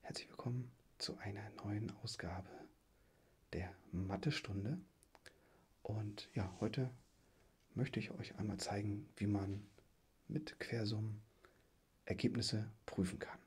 Herzlich willkommen zu einer neuen Ausgabe der Mathe-Stunde. Und ja, heute möchte ich euch einmal zeigen, wie man mit Quersummen Ergebnisse prüfen kann.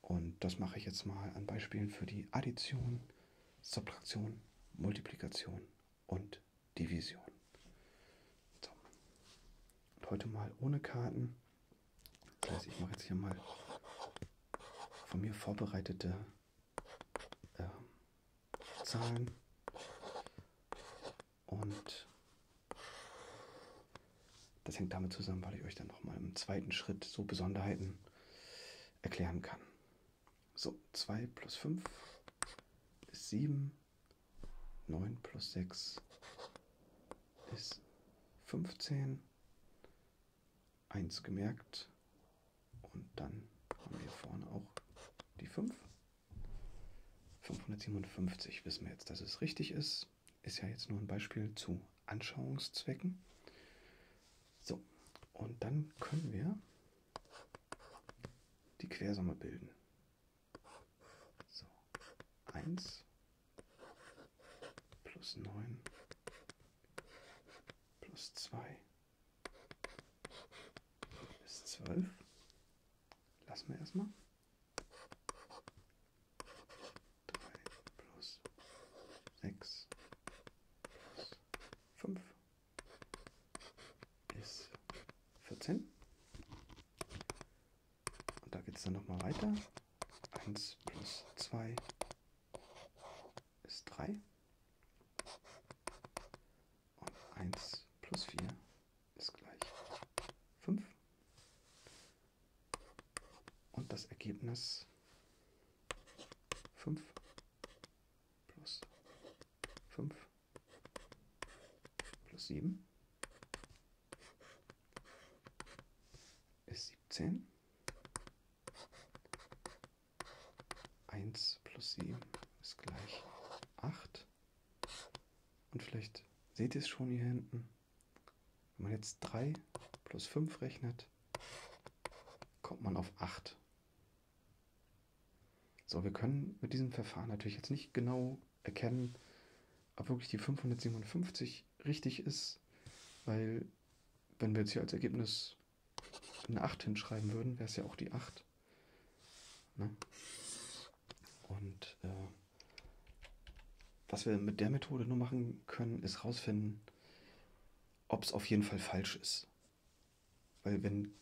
Und das mache ich jetzt mal an Beispielen für die Addition, Subtraktion, Multiplikation und Division. So. Und heute mal ohne Karten. Also ich mache jetzt hier mal von mir vorbereitete äh, Zahlen und das hängt damit zusammen, weil ich euch dann nochmal im zweiten Schritt so Besonderheiten erklären kann. So, 2 plus 5 ist 7, 9 plus 6 ist 15, 1 gemerkt und dann haben wir vorne auch die 5. 557 wissen wir jetzt, dass es richtig ist. Ist ja jetzt nur ein Beispiel zu Anschauungszwecken. So, und dann können wir die Quersumme bilden. So, 1 plus 9 plus 2 ist 12. Lassen wir erstmal. 3 plus 6 plus 5 ist 14. Und da geht es dann nochmal weiter. 1 plus 2 ist 3. Und 1 plus 4 ist gleich 5. Und das Ergebnis 5 plus 5 plus 7 ist 17. 1 plus 7 ist gleich 8. Und vielleicht seht ihr es schon hier hinten. Wenn man jetzt 3 plus 5 rechnet, kommt man auf 8. So, wir können mit diesem Verfahren natürlich jetzt nicht genau erkennen, ob wirklich die 557 richtig ist, weil wenn wir jetzt hier als Ergebnis eine 8 hinschreiben würden, wäre es ja auch die 8. Ne? Und äh, was wir mit der Methode nur machen können, ist rausfinden, ob es auf jeden Fall falsch ist. Weil wenn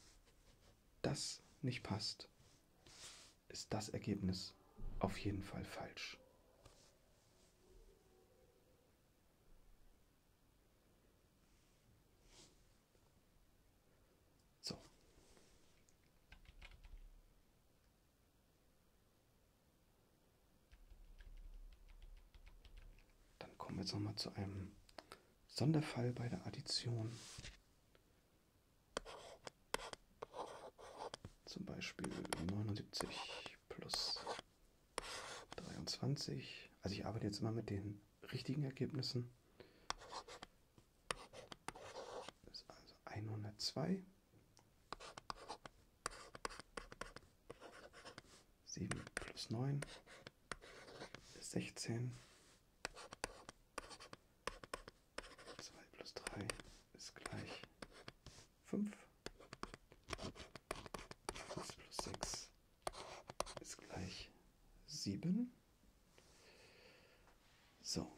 das nicht passt, ist das Ergebnis auf jeden Fall falsch. So. Dann kommen wir jetzt nochmal zu einem Sonderfall bei der Addition. Zum Beispiel 79 plus 23. Also ich arbeite jetzt immer mit den richtigen Ergebnissen. Das ist also 102. 7 plus 9 ist 16. 2 plus 3 ist gleich 5. 6 plus 6 ist gleich 7. So.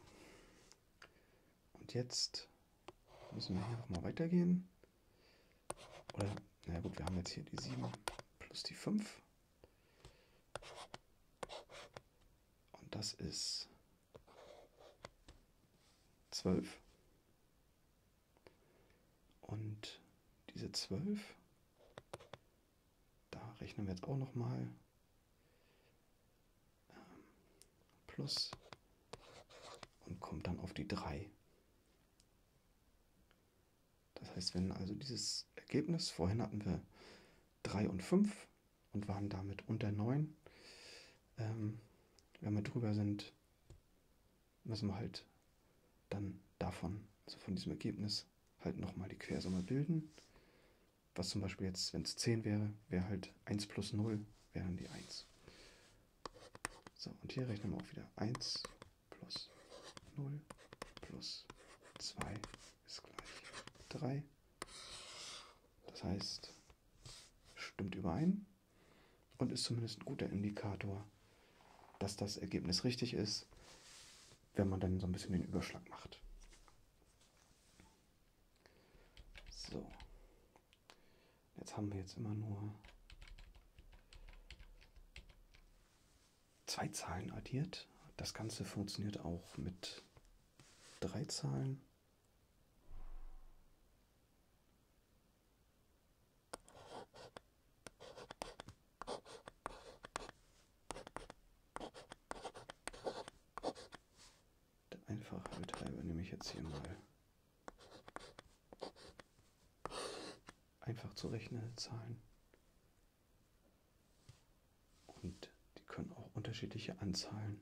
Und jetzt müssen wir hier nochmal weitergehen. Oder, naja gut, wir haben jetzt hier die 7 plus die 5. Und das ist zwölf. Und diese zwölf, da rechnen wir jetzt auch nochmal. Ähm, plus und kommt dann auf die drei. Das heißt, wenn also dieses Ergebnis, vorhin hatten wir drei und fünf und waren damit unter 9. Ähm, wenn wir drüber sind, müssen wir halt dann davon, also von diesem Ergebnis, halt nochmal die Quersumme bilden. Was zum Beispiel jetzt, wenn es 10 wäre, wäre halt 1 plus 0, wäre dann die 1. So, und hier rechnen wir auch wieder 1 plus 0 plus 2 ist gleich 3. Das heißt, stimmt überein und ist zumindest ein guter Indikator, dass das Ergebnis richtig ist, wenn man dann so ein bisschen den Überschlag macht. So. Jetzt haben wir jetzt immer nur zwei Zahlen addiert. Das Ganze funktioniert auch mit drei Zahlen. Der Einfachheit halber nehme ich jetzt hier mal einfach zu rechnende Zahlen. Und die können auch unterschiedliche Anzahlen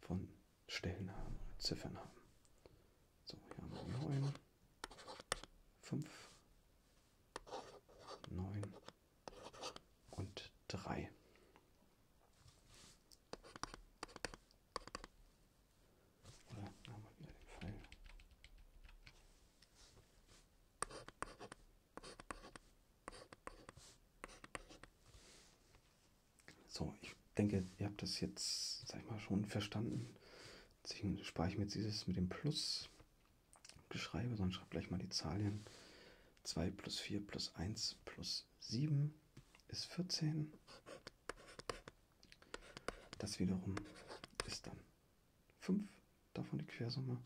von Stellen haben, Ziffern haben. So, hier haben wir 9, 5, 9 und 3. Oder haben wir wieder den Pfeil. So, ich denke, ihr habt das jetzt, sag ich mal, schon verstanden. Deswegen spare ich mir jetzt dieses mit dem Plus geschreibe, sondern schreibe gleich mal die Zahlen. 2 plus 4 plus 1 plus 7 ist 14. Das wiederum ist dann 5, davon die Quersumme.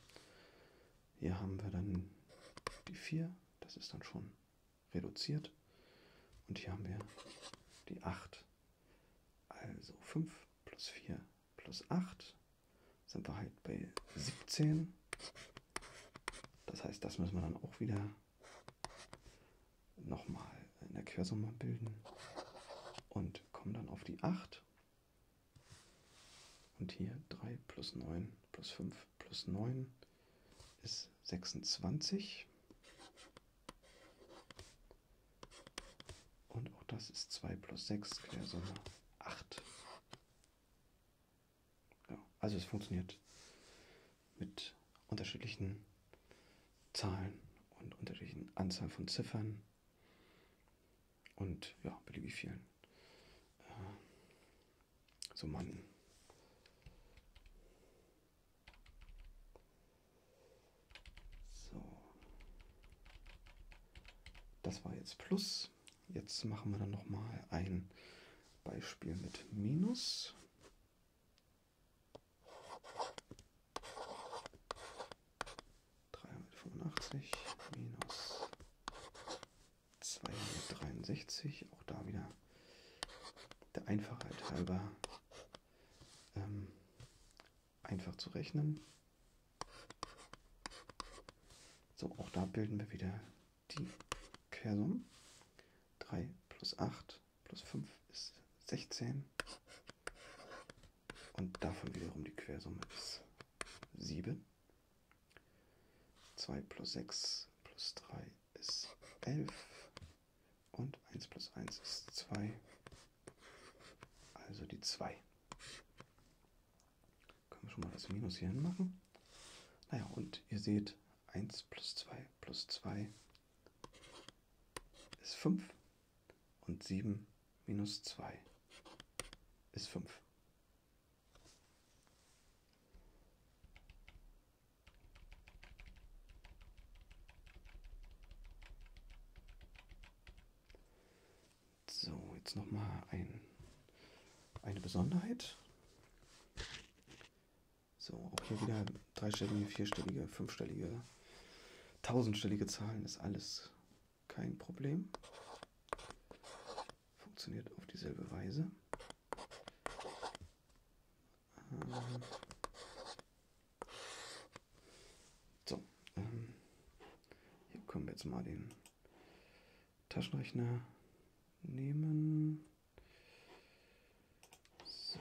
Hier haben wir dann die 4, das ist dann schon reduziert. Und hier haben wir die 8. Also 5 plus 4 plus 8 sind wir halt bei 17. Das heißt, das müssen wir dann auch wieder nochmal in der Quersumme bilden und kommen dann auf die 8. Und hier 3 plus 9 plus 5 plus 9 ist 26. Und auch das ist 2 plus 6, Quersumme 8. Ja, also es funktioniert mit unterschiedlichen Zahlen und unterschiedlichen Anzahl von Ziffern und ja, beliebig vielen äh, Summanden. So. Das war jetzt Plus. Jetzt machen wir dann nochmal ein Beispiel mit Minus. minus 263, auch da wieder der Einfachheit halber ähm, einfach zu rechnen. So, auch da bilden wir wieder die Quersummen. 3 plus 8 plus 5 ist 16. Und davon wiederum die Quersumme ist 7. 2 plus 6 plus 3 ist 11 und 1 plus 1 ist 2, also die 2. Können wir schon mal das Minus hier hin machen? Naja, und ihr seht, 1 plus 2 plus 2 ist 5 und 7 minus 2 ist 5. So, jetzt nochmal ein, eine Besonderheit. So, auch hier wieder dreistellige, vierstellige, fünfstellige, tausendstellige Zahlen ist alles kein Problem funktioniert auf dieselbe Weise. Ähm so, ähm hier können wir jetzt mal den Taschenrechner nehmen. So.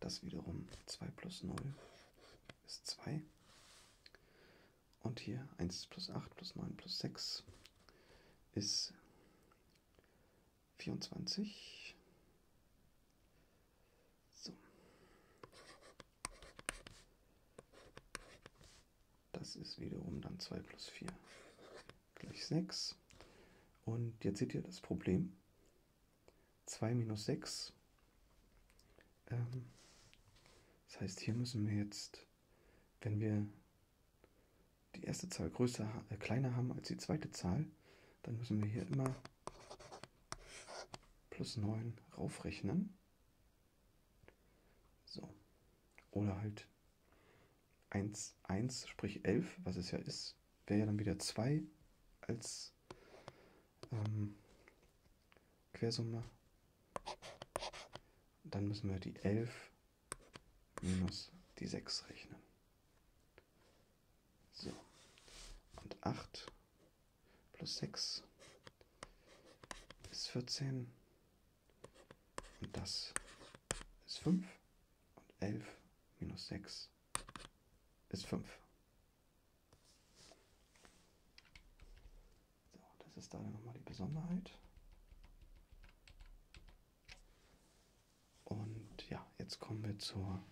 Das wiederum 2 plus 0 ist 2. Und hier 1 plus 8 plus 9 plus 6 ist 24. So. Das ist wiederum dann 2 plus 4 gleich 6. Und jetzt seht ihr das Problem. 2 minus 6. Ähm, das heißt, hier müssen wir jetzt, wenn wir die erste Zahl größer, äh, kleiner haben als die zweite Zahl, dann müssen wir hier immer plus 9 raufrechnen. So. Oder halt 1, 1, sprich 11, was es ja ist, wäre ja dann wieder 2 als ähm, Quersumme. Dann müssen wir die 11 minus die 6 rechnen. So. Und 8 plus 6 ist 14. Und das ist 5. Und 11 minus 6 ist 5. So, das ist da nochmal die Besonderheit. Und ja, jetzt kommen wir zur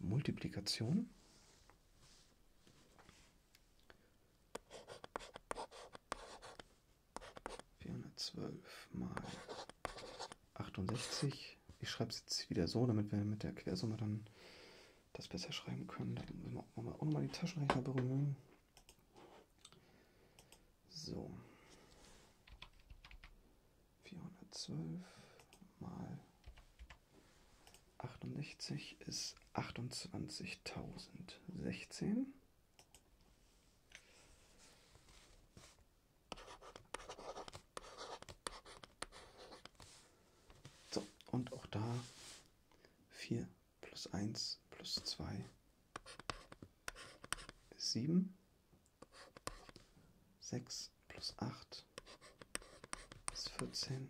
Multiplikation. Vierhundertzwölf mal 68. Ich schreibe es jetzt wieder so, damit wir mit der Quersumme dann das besser schreiben können. Dann müssen wir auch mal, auch mal die Taschenrechner berühren. So. 412 mal 68 ist 28.016. So, und auch da 4 plus 1 plus 2 ist 7. 6 plus 8 ist 14.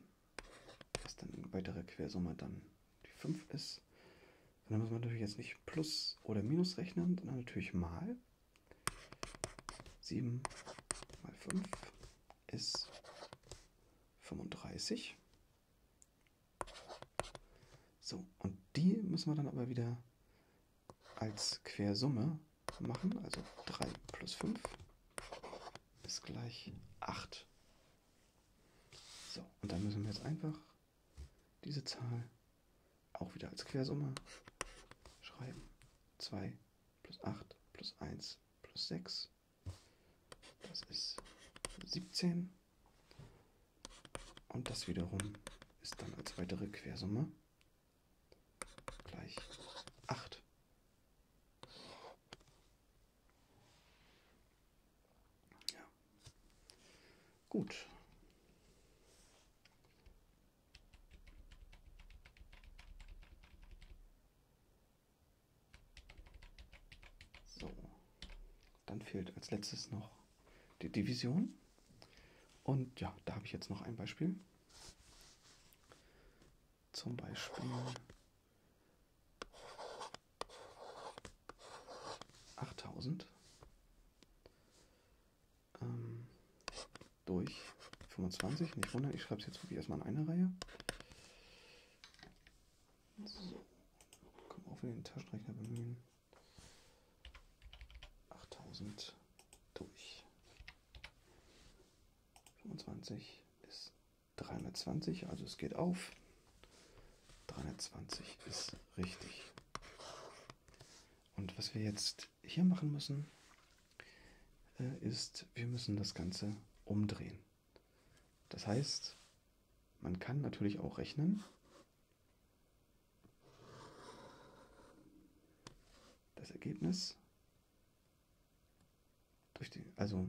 Was dann eine weitere Quersumme dann die 5 ist. Und dann muss man natürlich jetzt nicht plus oder minus rechnen, sondern natürlich mal. 7 mal 5 ist 35. So, und die müssen wir dann aber wieder als Quersumme machen. Also 3 plus 5 ist gleich 8. So, und dann müssen wir jetzt einfach diese Zahl auch wieder als Quersumme schreiben. 2 plus 8 plus 1 plus 6. Das ist 17. Und das wiederum ist dann als weitere Quersumme gleich 8. Ja. Gut. So, dann fehlt als letztes noch die Division. Und ja, da habe ich jetzt noch ein Beispiel. Zum Beispiel 8000 ähm, durch 25. Nicht wundern, ich schreibe es jetzt wirklich erstmal in eine Reihe. So, können wir auch wieder den Taschenrechner bemühen. 8000 durch. 25 ist 320, also es geht auf. 320 ist richtig. Und was wir jetzt hier machen müssen, äh, ist, wir müssen das Ganze umdrehen. Das heißt, man kann natürlich auch rechnen, das Ergebnis durch den, also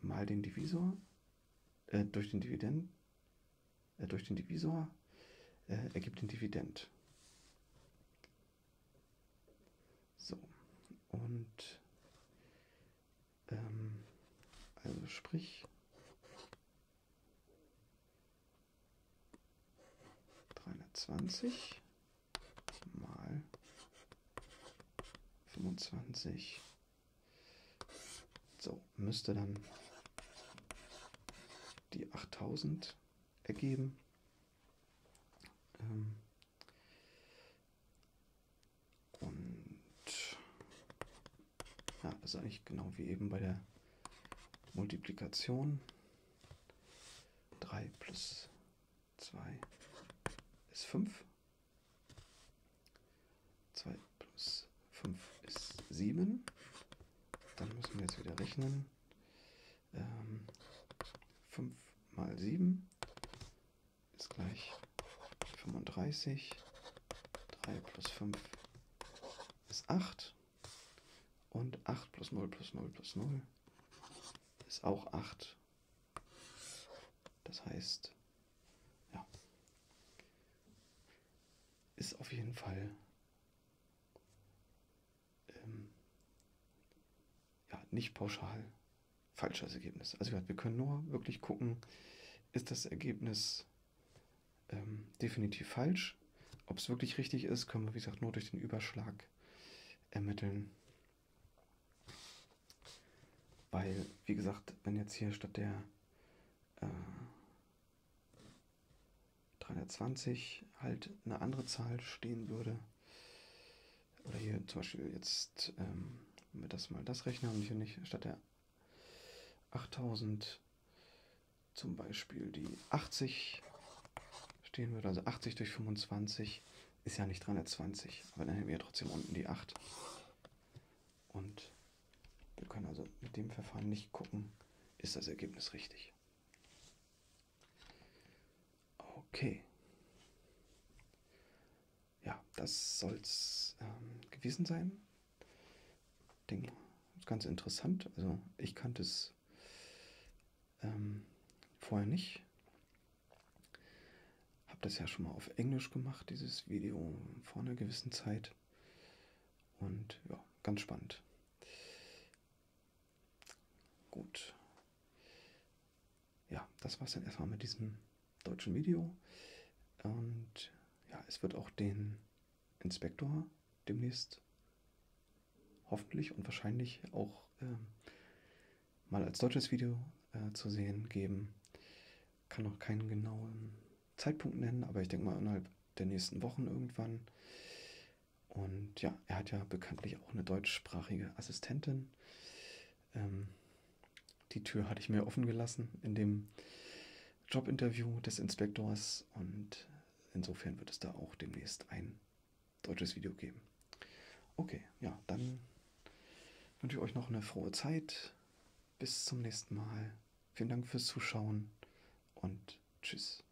mal den Divisor, äh, durch den Dividend, äh, durch den Divisor äh, ergibt den Dividend. So, und ähm, also sprich 320 mal 25. So, müsste dann die 8000 ergeben. Ähm und ja, das ist eigentlich genau wie eben bei der Multiplikation. 3 plus 2 ist 5. 2 plus 5 ist 7. Dann müssen wir jetzt wieder rechnen ähm, 5 mal 7 ist gleich 35. 3 plus 5 ist 8. Und 8 plus 0 plus 0 plus 0 ist auch 8. Das heißt, ja, ist auf jeden Fall ähm, ja, nicht pauschal falsches Ergebnis. Also wir können nur wirklich gucken, ist das Ergebnis ähm, definitiv falsch. Ob es wirklich richtig ist, können wir, wie gesagt, nur durch den Überschlag ermitteln. Weil, wie gesagt, wenn jetzt hier statt der äh, 320 halt eine andere Zahl stehen würde. Oder hier zum Beispiel jetzt, ähm, wenn wir das mal das Rechner haben, hier nicht, statt der 8000 zum Beispiel die 80 stehen würde. Also 80 durch 25 ist ja nicht 320, aber dann hätten wir ja trotzdem unten die 8. Und wir können also mit dem Verfahren nicht gucken, ist das Ergebnis richtig. Okay. Ja, das soll es ähm, gewesen sein. Ich denke, das ist ganz interessant. Also ich kannte es ähm, vorher nicht. Habe das ja schon mal auf Englisch gemacht, dieses Video vor einer gewissen Zeit. Und ja, ganz spannend. Gut. Ja, das war es dann erstmal mit diesem deutschen Video. Und ja, es wird auch den Inspektor demnächst hoffentlich und wahrscheinlich auch ähm, mal als deutsches Video äh, zu sehen geben. Kann noch keinen genauen Zeitpunkt nennen, aber ich denke mal innerhalb der nächsten Wochen irgendwann. Und ja, er hat ja bekanntlich auch eine deutschsprachige Assistentin. Ähm, die Tür hatte ich mir offen gelassen in dem Jobinterview des Inspektors und insofern wird es da auch demnächst ein deutsches Video geben. Okay, ja, dann wünsche ich euch noch eine frohe Zeit. Bis zum nächsten Mal. Vielen Dank fürs Zuschauen und tschüss.